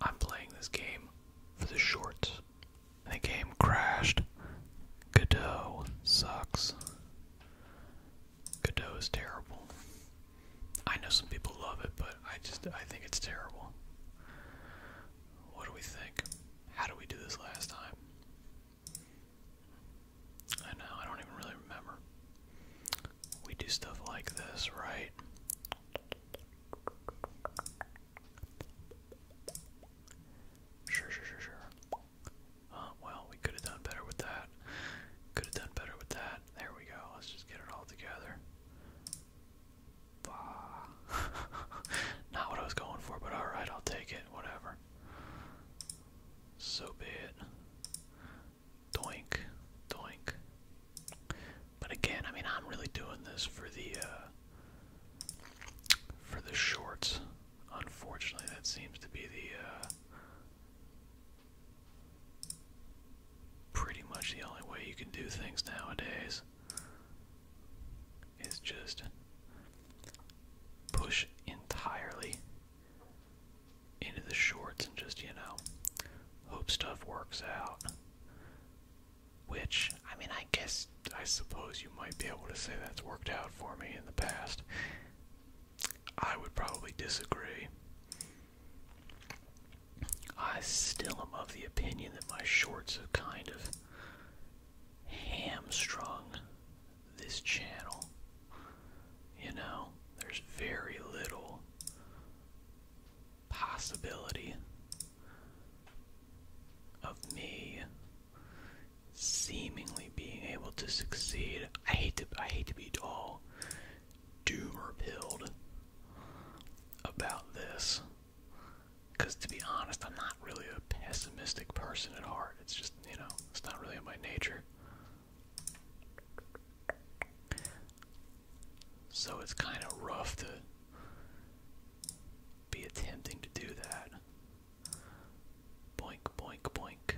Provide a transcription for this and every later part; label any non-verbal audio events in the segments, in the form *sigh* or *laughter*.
I'm playing this game for the shorts. The game crashed. Godot sucks. Godot is terrible. I know some people love it, but I just I think it's terrible. What do we think? How did we do this last time? I know, I don't even really remember we do stuff like this, right? Sure, sure, sure, sure. Uh, well, we could have done better with that. Could have done better with that. There we go. Let's just get it all together. Bah. *laughs* Not what I was going for, but alright, I'll take it. Whatever. So be it. Doink. Doink. But again, I mean, I'm really doing this for the uh, for the shorts. Unfortunately, that seems to be the uh, pretty much the only way you can do things nowadays. Is just push entirely into the shorts and just, you know, hope stuff works out. Which, I mean, I guess, I suppose you might be able to say that's worked out for me in the past. I would probably disagree. I still am of the opinion that my shorts have kind of hamstrung this channel. You know, there's very little possibility of me seemingly being able to succeed. I hate to I hate to be all doomer pilled about this. Cause to be honest, I'm not really a pessimistic person at heart. It's just, you know, it's not really in my nature. So it's kind of rough to be attempting to do that. Boink, boink, boink.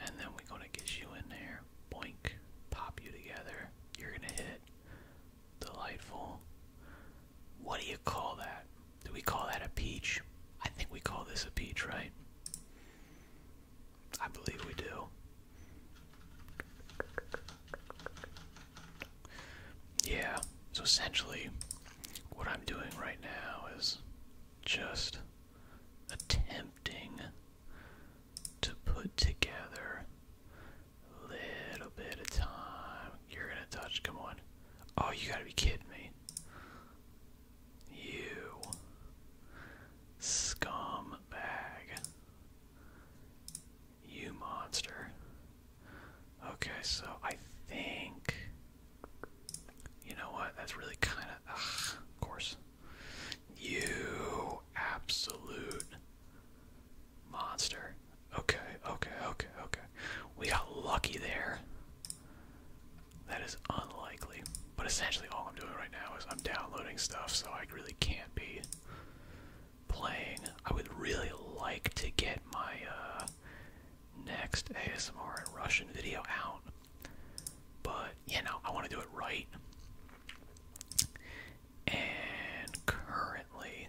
And then we're going to get you in there. Boink. Pop you together. You're going to hit. Delightful. What do you call that? Do we call that a peach? I think we call this a peach, right? I believe we do. Yeah, so essentially, what I'm doing right now is just attempting to put together a little bit of time. You're gonna touch, come on. Oh, you gotta be kidding me. You scumbag. You monster. Okay, so I think. You know what? That's really kind of. Of course. You absolute monster. Okay, okay, okay, okay. We got lucky there. That is unlikely. But essentially, all I'm doing right now is I'm downloading stuff, so I really can't be playing. I would really like to get my uh, next ASMR and Russian video out, but you know, I want to do it right. And currently,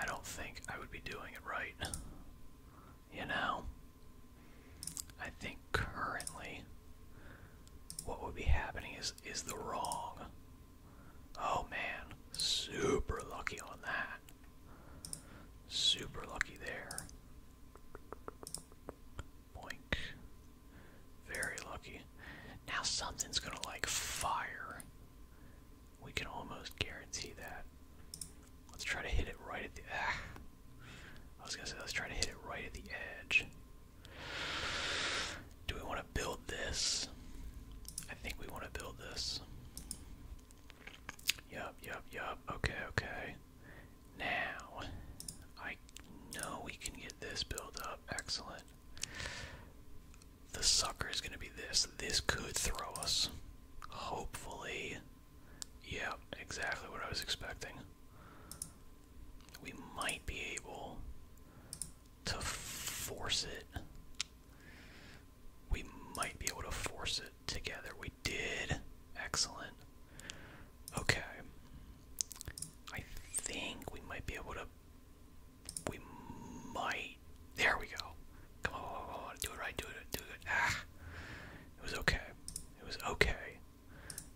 I don't think I would be doing it right. You know, I think currently what would be happening is is the wrong. Oh man, super lucky on that. Super lucky there. Boink. Very lucky. Now something's gonna like fire. We can almost guarantee that. Let's try to hit it right at the. Ah. I was gonna say let's try to hit it right at the edge. Do we want to build this? I think we want to build this. Yup, yup, yup. Okay, okay. Now, I know we can get this built up. Excellent. The sucker is going to be this. This could throw us. Hopefully. Yeah, exactly what I was expecting. We might be able to force it. We might be able to force it together. We did. Excellent. Okay. I think we might be able to. We might. There we go. Come on, come on, do it right, do it, do it. Ah, it was okay. It was okay.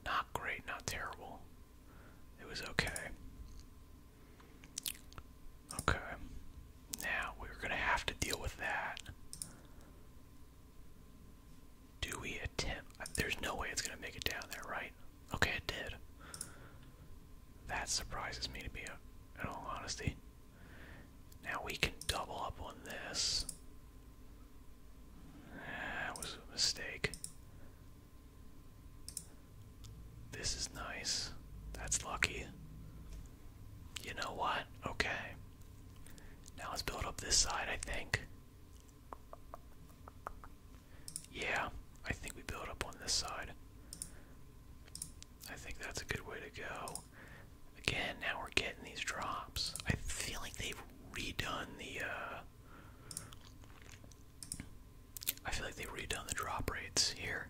Not great, not terrible. It was okay. Okay. Now we're going to have to deal with that. Do we attempt? Uh, there's no way it's going to make it down there, right? Okay, it did. That surprises me to be, uh, in all honesty. Now we can double up on this. That was a mistake. This is nice. That's lucky. You know what? Okay. Now let's build up this side, I think. Yeah, I think we build up on this side. I think that's a good way to go. Again, now we're getting these drops. I feel like they've redone the uh I feel like they've redone the drop rates here.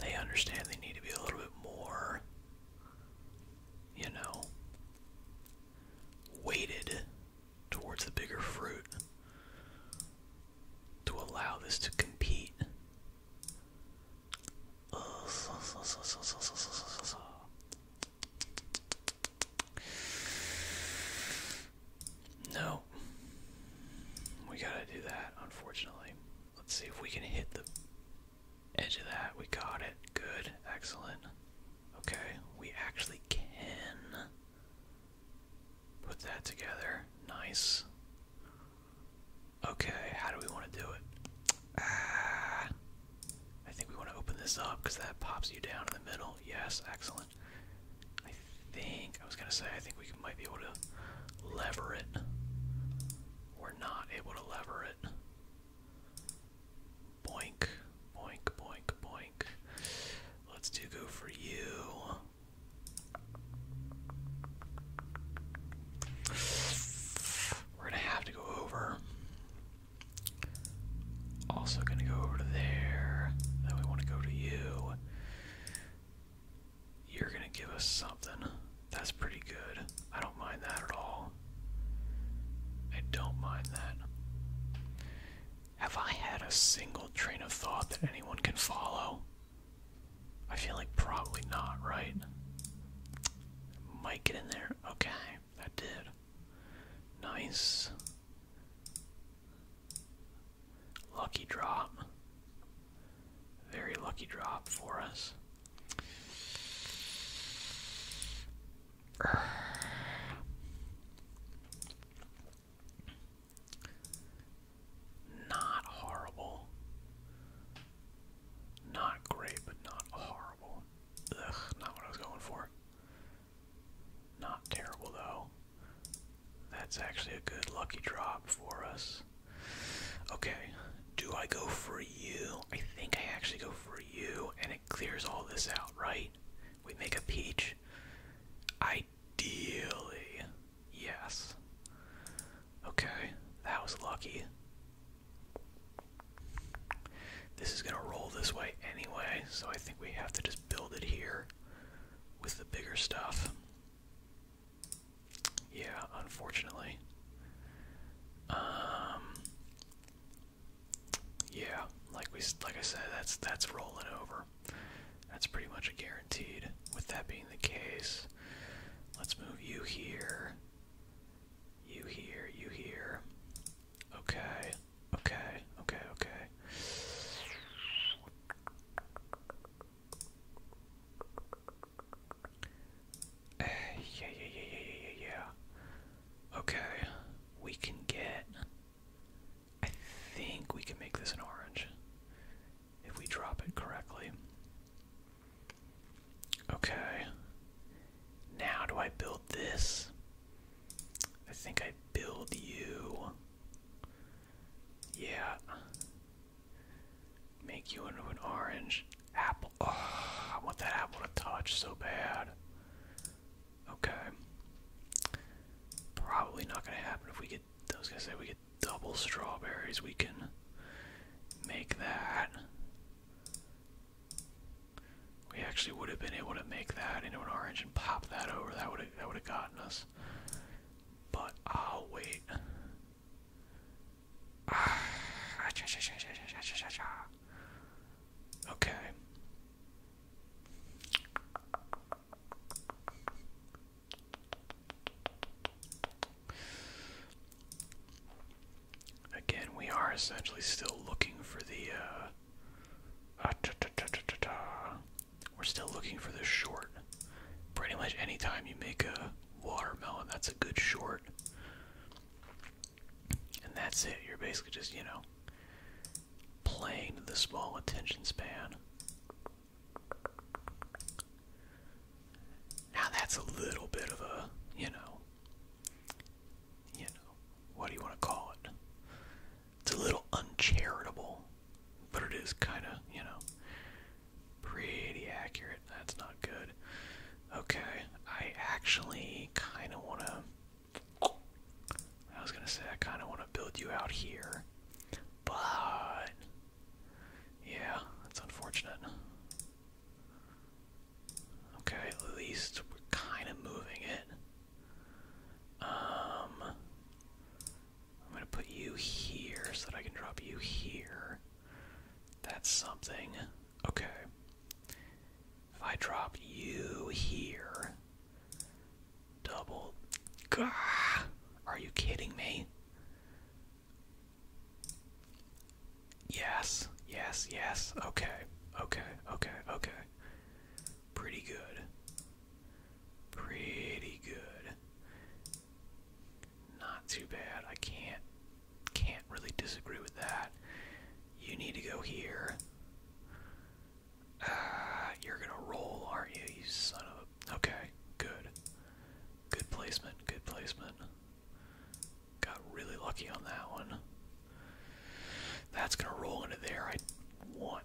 They understand they need to be a little bit more, you know, weighted towards the bigger fruit to allow this to compete. No. We gotta do that, unfortunately. Let's see if we can hit the edge of that. We got it. Good. Excellent. Okay, we actually can put that together. Nice. Okay, how do we want to do it? Ah, I think we want to open this up because that pops you down in the middle. Yes, excellent. I think, I was gonna say, I think we might be able to lever it. We're not able to lever it. Boink, boink, boink, boink. Let's do go for you. We're gonna have to go over. Also gonna go over to there. Then we wanna go to you. You're gonna give us something. That's pretty good. I don't mind that at all. I don't mind that. Have I had a single train of thought that anyone can follow? I feel like probably not, right? Might get in there. Okay, that did. Nice. Lucky drop. Very lucky drop for us. Not horrible. Not great, but not horrible. Ugh, not what I was going for. Not terrible though. That's actually a good lucky drop for us. Okay, do I go for you? I think I actually go for you, and it clears all this out, right? We make a peach. Ideally, yes. Okay, that was lucky. This is gonna roll this way anyway, so I think we have to just build it here with the bigger stuff. Yeah, unfortunately. Um Yeah, like we like I said, that's that's rolling over. That's pretty much a guaranteed. With that being the case, let's move you here. You here, you here. Okay. Okay, okay, okay. Eh, yeah, yeah, yeah, yeah, yeah, yeah. Okay, we can get. I think we can make this an orange if we drop it correctly. Okay. Now, do I build this? I think I build you. Yeah. Make you into an orange apple. Oh, I want that apple to touch so bad. Okay. Probably not gonna happen if we get I was gonna say we get double strawberries, we can make that. We actually would have been able to make that into an orange and pop that over. That would that would have gotten us. But I'll wait. *sighs* Okay. Again, we are essentially still looking for the uh, Ah, We're still looking for the short. Pretty much anytime you make a watermelon, that's a good short. And that's it. You're basically just, you know, playing the small attention span. Now that's a little bit of a, you know, you know, what do you want to call it? It's a little uncharitable, but it is kind of, you know, pretty accurate. That's not good. Okay, I actually kind of want to. I was going to say, I kind of want to build you out here, but. Yeah, that's unfortunate. Okay, at least we're kind of moving it. Um, I'm gonna put you here so that I can drop you here. That's something. Okay. If I drop you here, double. Gah! Are you kidding me? Yes, yes, yes. Okay, okay, okay, okay. Pretty good. Pretty good. Not too bad. I can't can't really disagree with that. You need to go here. Ah, you're gonna roll, aren't you? You son of a. Okay, good. Good placement. Good placement. Got really lucky on that one. That's gonna roll into there. I. want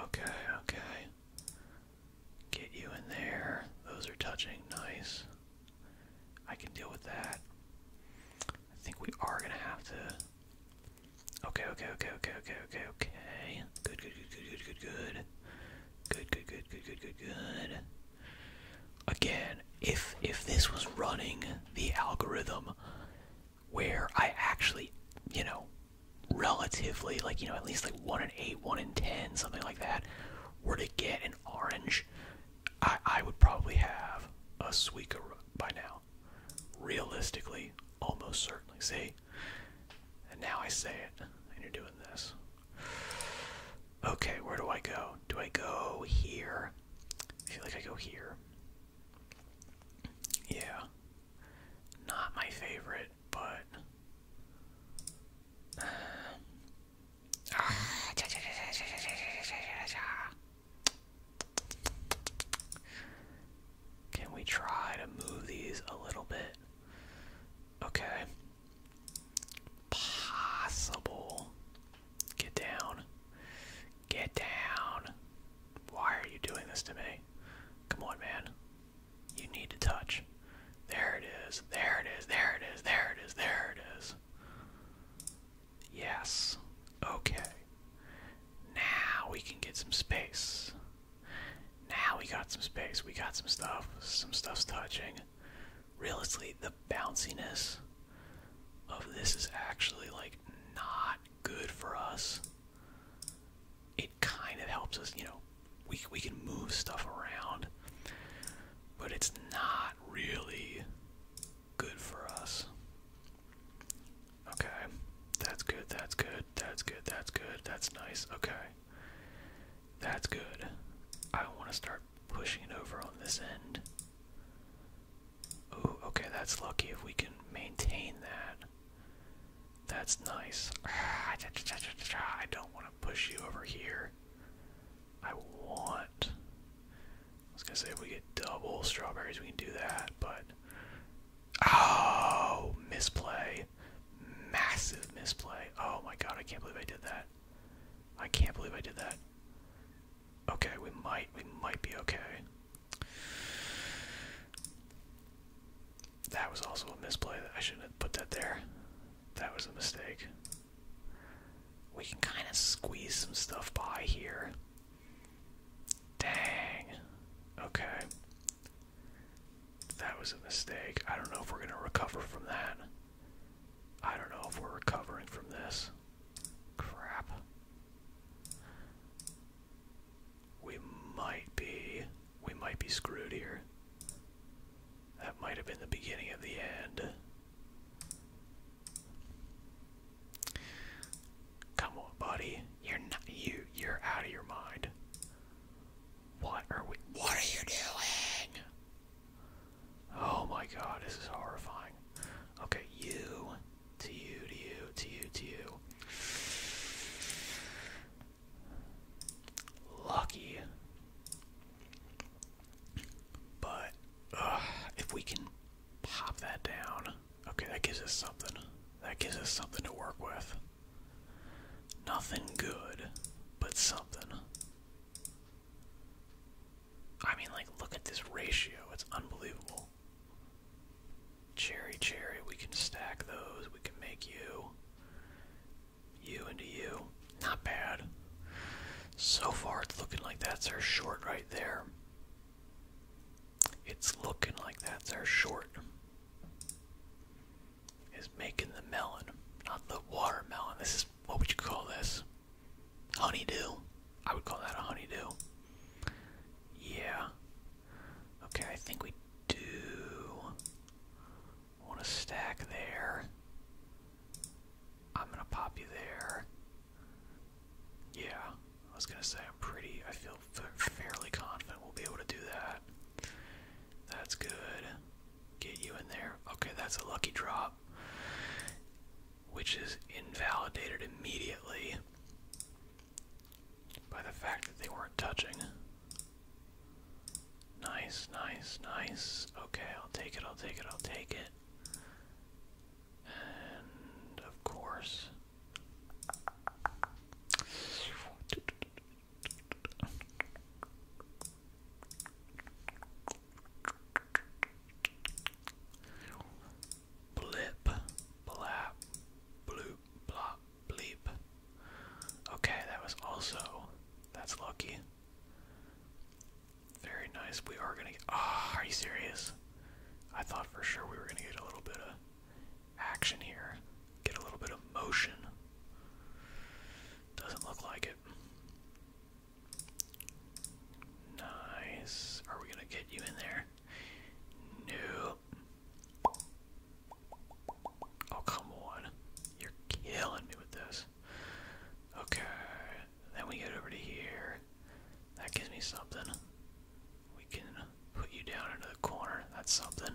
Okay, okay. Get you in there. Those are touching. Nice. I can deal with that. I think we are gonna have to. Okay, okay, okay, okay, okay, okay, okay. Good, good, good, good, good, good, good. Good, good, good, good, good, good, good. Again, if if this was running the algorithm, where I actually, you know, relatively like, you know, at least like 1 in 8, 1 in 10, something like that, were to get an orange, I, I would probably have a Suicune by now. Realistically, almost certainly. See? And now I say it, and you're doing this. Okay, where do I go? Do I go here? I feel like I go here. Yeah. Not my favorite, but. Can we try to move these a little bit? Okay. Possible. Get down. Get down. Why are you doing this to me? Come on, man. You need to touch. There it is. There it is. There it is. There it is. There it is. Yes. Okay. Now we can get some space. Now we got some space. We got some stuff. Some stuff's touching. Realistically, the bounciness of this is actually like not good for us it kind of helps us, you know, we we can move stuff around, but it's not really good for us. Okay. That's good. That's good. That's good. That's good. That's nice. Okay. That's good. I want to start pushing it over on this end. Oh, okay, that's lucky if we can maintain that. That's nice. Ah, I don't want to push you over here. I want. I was gonna say if we get double strawberries, we can do that, but oh, misplay, massive misplay. Oh my god, I can't believe I did that. I can't believe I did that. Okay, we might, we might be okay. That was also a misplay. That I shouldn't have put that there. That was a mistake. We can kind of squeeze some stuff by here. Dang. Okay. That was a mistake. I don't know if we're going to recover from that. I don't know if we're recovering from this. Crap. We might be we might be screwed here. That might have been the beginning of the end. Come on, buddy. You're not you you're out of your mind. What are we What are you doing? Oh my god, this is horrifying. Okay, you to you to you to you to you. Lucky. But if we can pop that down, okay, that gives us something. That gives us something to work with. Nothing good, but something. I mean, like, look at this ratio. It's unbelievable. Cherry, cherry, we can stack those. We can make you. You into you. Not bad. So far, it's looking like that's our short right there. It's looking like that's our short. Is making the melon, not the watermelon. This is what would you call this? Honeydew. I would call that a honeydew. Yeah, Okay, I think we do want to stack there. I'm gonna pop you there. Yeah, I was gonna say I'm pretty. I feel fairly confident we'll be able to do that. That's good. Get you in there. Okay, that's a lucky drop, which is invalidated immediately by the fact that they weren't touching. Nice, nice, nice. Okay, I'll take it, I'll take it, I'll take it. And of course. Blip, blap, bloop, blop, Bleep. Okay, that was also. That's lucky. Very nice. We are gonna Ah, are you serious? I thought for sure we were gonna get a little bit of action here. Get a little bit of motion. Doesn't look like it. Nice. Are we gonna get you in there? Nope. Oh, come on. You're killing me with this. Okay. Then we get over to here. That gives me something. We can put you down into the corner. That's something.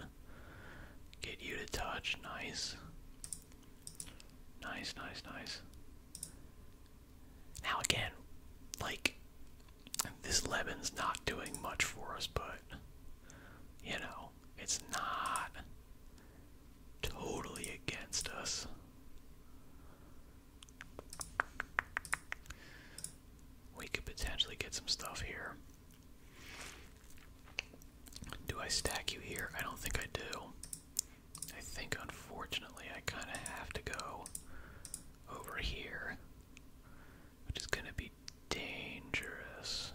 Get you to touch. Nice. Nice, nice, nice. Now, again, like, this Leban's not doing much for us, but you know, it's not totally against us. We could potentially get some stuff here. Do I stack you here? I don't think I do. I think, unfortunately, I kind of have to go over here which is going to be dangerous.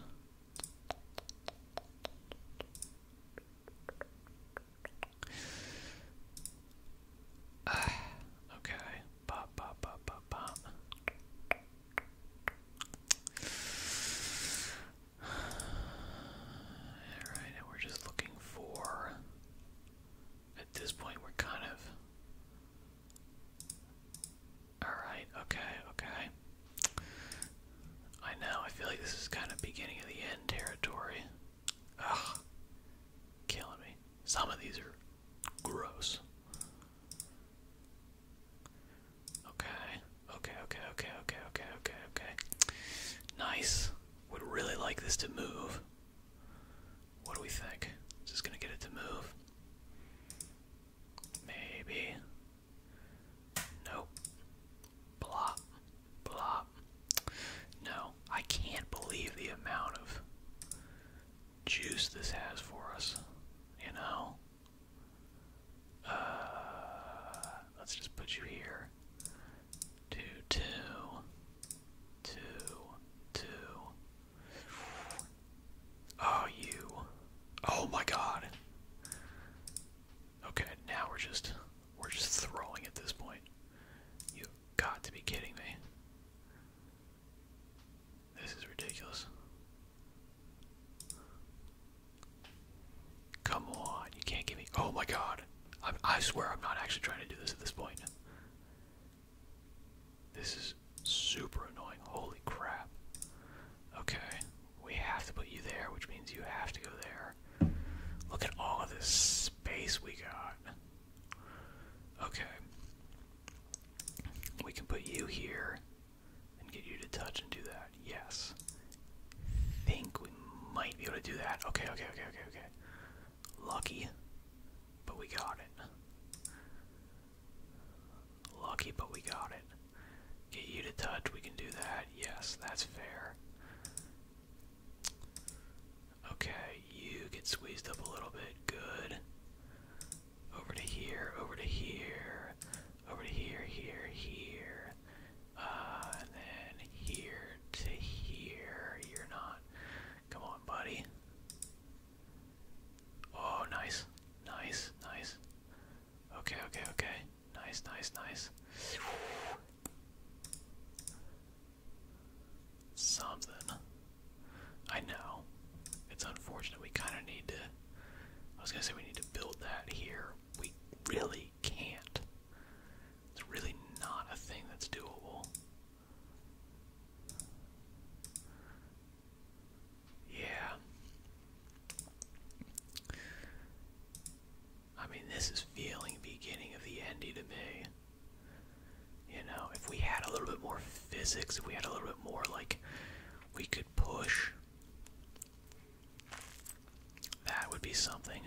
Ah, okay. Pop, pop, pop, pop, pop. Alright, we're just looking for. At this point, we're kind of Alright, okay, okay. I know, I feel like this is kind of beginning of the end territory. Ugh. Killing me. Some of these are gross. Okay, okay, okay, okay, okay, okay, okay, okay. Nice. Would really like this to move. What do we think? Is this gonna get it to move? Maybe. Nope. Blop. Blop. No, I can't believe the amount of juice this has for us. You know? Uh, let's just put you here. Two, two, two, two, Oh, you. Oh my god. Okay, now we're just we're just throwing at this point. You got to be kidding me. This is ridiculous. Come on, you can't give me. Oh my god. I I swear I'm not actually trying to do this at this point. This is super annoying. Holy crap. Okay, we have to put you there, which means you have to go there. Look at all of this space we got. Okay. We can put you here and get you to touch and do that. Yes. Think we might be able to do that. Okay, okay, okay, okay, okay. Lucky, but we got it. Lucky, but we got it. Get you to touch, we can do that. Yes, that's fair. Okay, you get squeezed up a little bit. Good. Over to here, over to here, over to here, here, here. Uh, and then here to here. You're not. Come on, buddy. Oh, nice. Nice, nice. Okay, okay, okay. Nice, nice, nice. Something. I know. It's unfortunate. We kind of need to. I was gonna say we need to build that here. We really can't. It's really not a thing that's doable. Yeah. I mean, this is feeling beginning of the endy to me. You know, if we had a little bit more physics, if we had a little bit more, like, we could push, that would be something.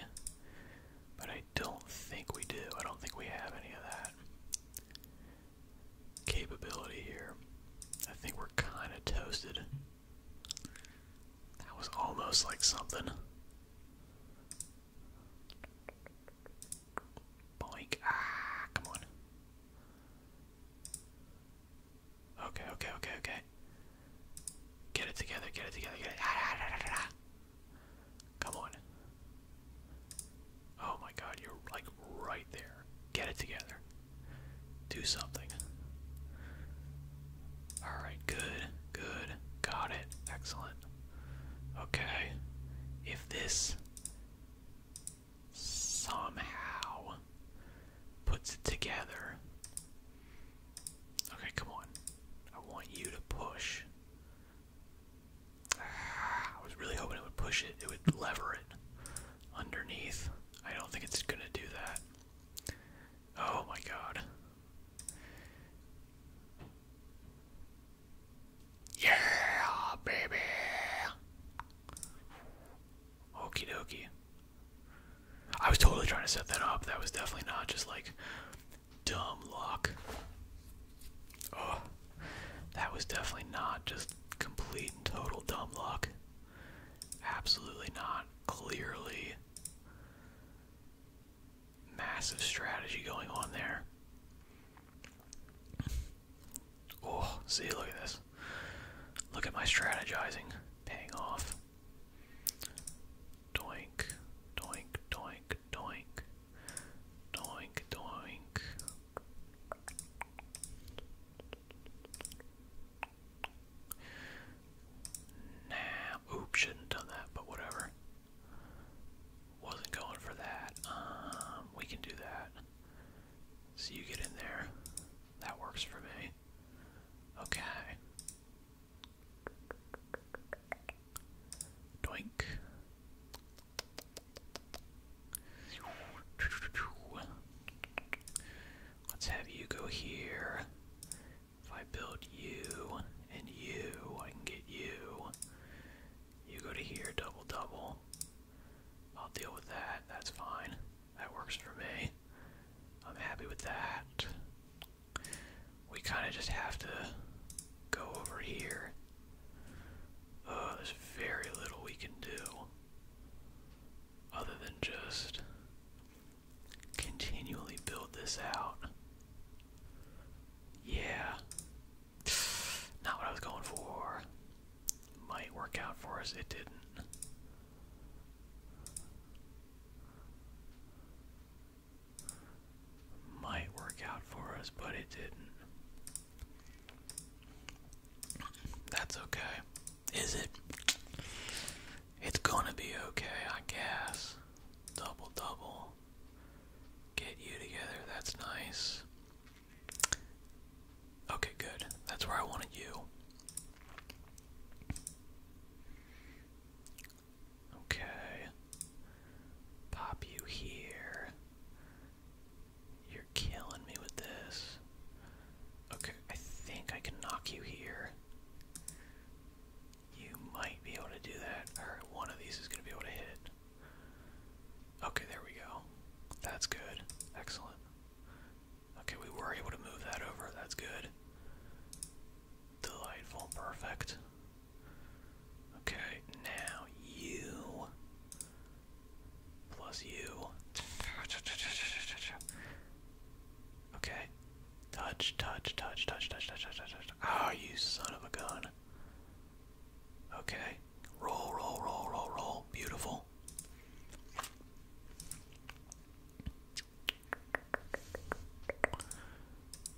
But I don't think we do. I don't think we have any of that capability here. I think we're kind of toasted. That was almost like something. Boink. Ah, come on. Okay, okay, okay, okay. Get it together, get it together, get it. Ah, ah, ah, come on. Oh my god, you're like right there. Get it together. Do something. Alright, good, good. Got it. Excellent. Okay. If this somehow puts it together. Okay, come on. I want you to push. Ah, I was really hoping it would push it, it would lever it underneath. I don't think it's gonna do that. Oh my god. Yeah, baby. Okie dokie. I was totally trying to set that up. That was definitely not just like dumb luck. Oh that was definitely not just complete and total dumb luck. Absolutely not. Clearly, massive strategy going on there. Oh, see, look at this. Look at my strategizing paying off. Doink, doink, doink, doink, doink, doink. Nah, oops, shouldn't have done that, but whatever. Wasn't going for that. Um, we can do that. So you get in there. That works for me. Okay. Doink. Let's have you go here. If I build you and you, I can get you. You go to here, double double. I'll deal with that. That's fine. That works for me. I'm happy with that. We kind of just have to go over here. Oh, there's very little we can do other than just continually build this out. Yeah. *sighs* Not what I was going for. Might work out for us, it didn't. Might work out for us, but it didn't. That's okay. Is it? It's gonna be okay, I guess. Double double. Get you together, that's nice. Okay, good. That's where I wanted you. Okay. Pop you here. You're killing me with this. Okay, I think I can knock you here. You might be able to do that. Alright, one of these is going to be able to hit. Okay, there we go. That's good. Excellent. Okay, we were able to move that over. That's good. Delightful. Perfect. Okay, now you plus you. Okay. Touch, touch, touch, touch, touch, touch, touch, Ah, you son of a gun. Okay. Roll, roll, roll, roll, roll. Beautiful.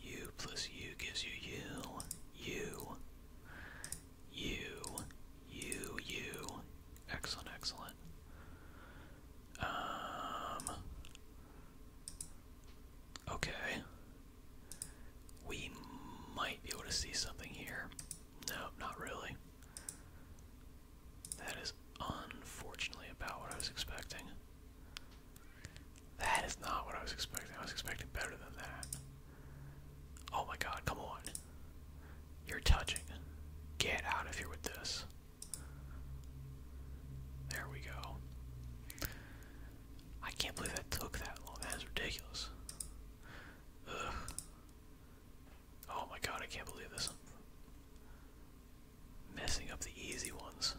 U plus U gives you U. U. You, you, you. Excellent, excellent. Um. Okay. We might be able to see something here. No, not really. That is unfortunately about what I was expecting. That is not what I was expecting. I was expecting better than that. Oh my god, come on. You're touching. Get out of here with this. There we go. I can't believe that took that long. That is ridiculous. Oh my god, I can't believe this. messing up the easy ones.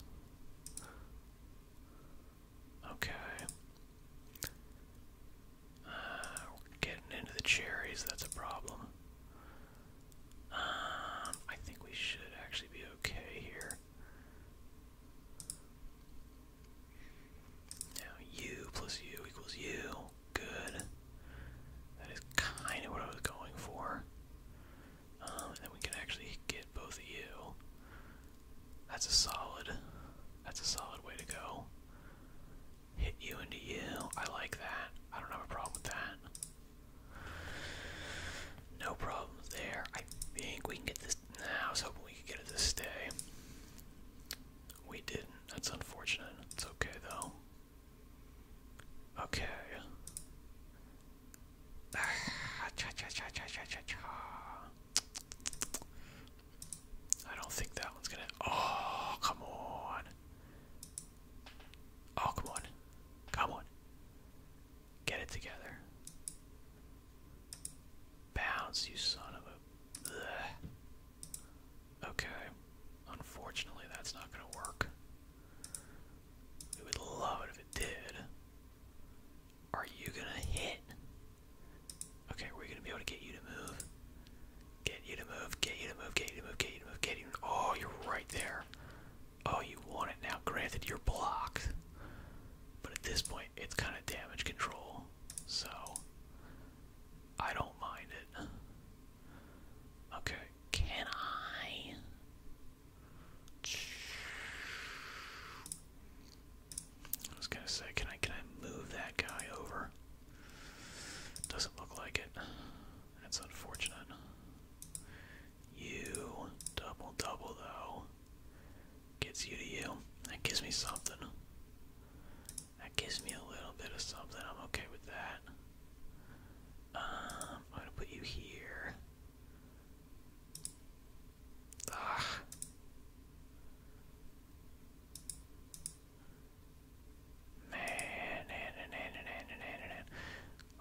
Okay. Uh, getting into the cherries, that's a problem. Um, I think we should actually be okay here. Now, u plus u equals u. Good. That is kind of what I was going for. Um, then we can actually get both of you. That's a solid. That's a solid way to go. Hit you into you. I like that. I don't have a problem with that. No problems there. I think we can get this. Nah, I was hoping we could get it to stay. We didn't. That's unfortunate. It's okay though. Okay. Ah, I don't think that one's gonna. Oh, come on. Oh, come on. Come on. Get it together. Bounce, you son of a. Okay. Unfortunately, that's not gonna work. We would love it if it did. Are you gonna hit? Okay, we're gonna be able to get you to move. Get you to move, get you to move, get you to move, get you to move, get you to move. Oh, you're right there. Oh, you want it now. Granted, you're blocked. But at this point, it's kind of damage control. So, I don't mind it. Okay, can I? I was gonna say, can I can I move that guy over? Doesn't look like it. It's unfortunate. You double double though. Gets you to you. That gives me something. That gives me a little bit of something. I'm okay with that. Um, I'm gonna put you here. Ah. Man, man, man,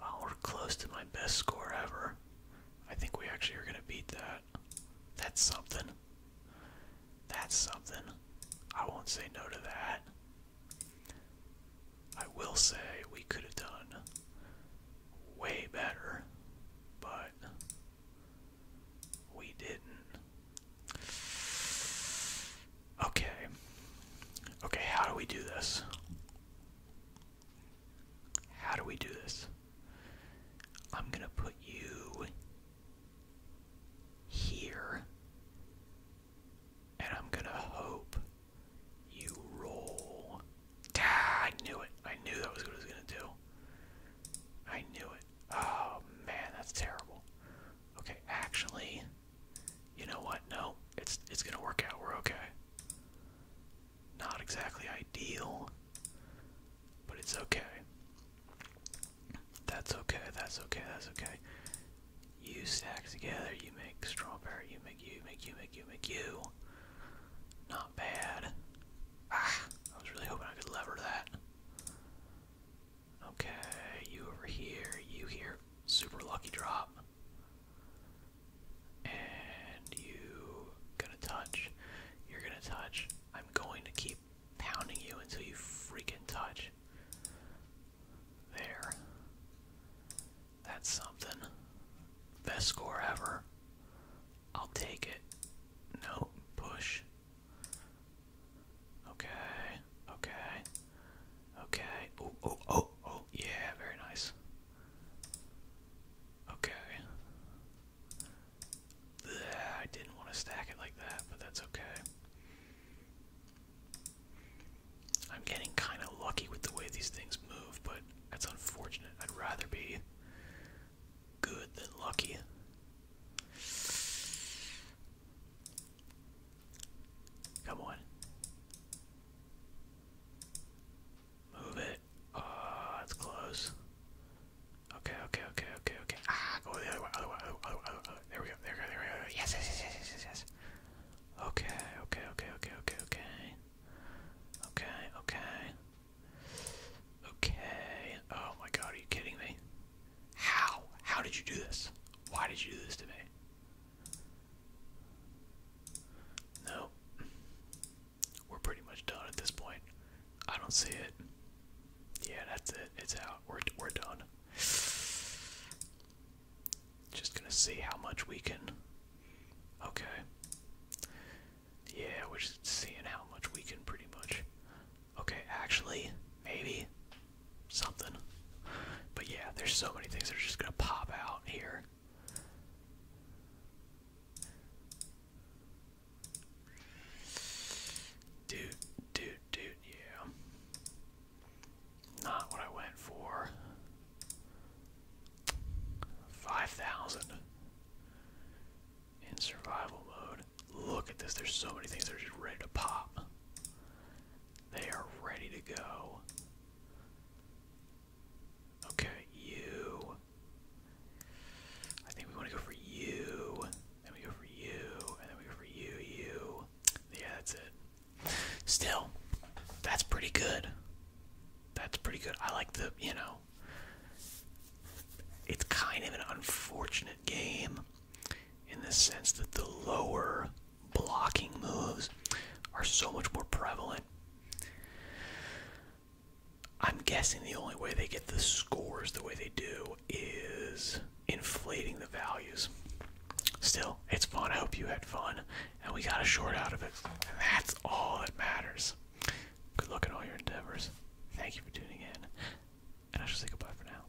oh, close to my best score ever. I think we actually are gonna beat that. That's something. That's something. I won't say no to that. I will say we could have done way better, but we didn't. Okay. Okay, how do we do this? How do we do this? I'm going to put you here. And I'm going to hope you roll. Ah, I knew it. I knew that was what it was going to do. I knew it. Oh man, that's terrible. Okay, actually, you know what? No, it's it's gonna work out. We're okay. Not exactly ideal, but it's okay. That's okay. That's okay. That's okay. You stack together. You make strawberry. You make you make you make you make you. Not bad. Ah, I was really hoping I could lever that. Okay, you over here, you here. Super lucky drop. And you gonna touch. You're gonna touch. I'm going to keep pounding you until you freaking touch. There. That's something. Best score ever. I'll take it. No, push. Okay, okay, okay. Oh, oh, oh, oh, yeah, very nice. Okay. I didn't want to stack it like that, but that's okay. I'm getting kind of lucky with the way these things move, but that's unfortunate. I'd rather be good than lucky. Come on. Move it. Oh, ah, that's close. Okay, okay, okay, okay, okay. Ah, go the other way, other way, other way, other way. There we go, there we go, there we go. Yes, yes, yes, yes, yes, yes. Okay, okay, okay, okay, okay, okay. Okay, okay. Okay. Oh my god, are you kidding me? How? How did you do this? Why did you do this to me? No. We're pretty much done at this point. I don't see it. Yeah, that's it. It's out. We're, we're done. Just gonna see how much we can. Okay. Yeah, we're just seeing how much we can pretty much Okay, actually, maybe something. But yeah, there's so many things that are just gonna pop out here. Dude, dude, dude, yeah. Not what I went for. 5,000 in survival mode. Look at this. There's so many things that are just ready to pop. They are ready to go. Okay, you. I think we want to go for you. Then we go for you. And then we go for you, you. Yeah, that's it. Still, that's pretty good. That's pretty good. I like the, you know, it's kind of an unfortunate game in the sense that the lower blocking moves are so much more prevalent. I'm guessing the only way they get the scores the way they do is inflating the values. Still, it's fun. I hope you had fun. And we got a short out of it. And that's all that matters. Good luck in all your endeavors. Thank you for tuning in. And I shall say goodbye for now.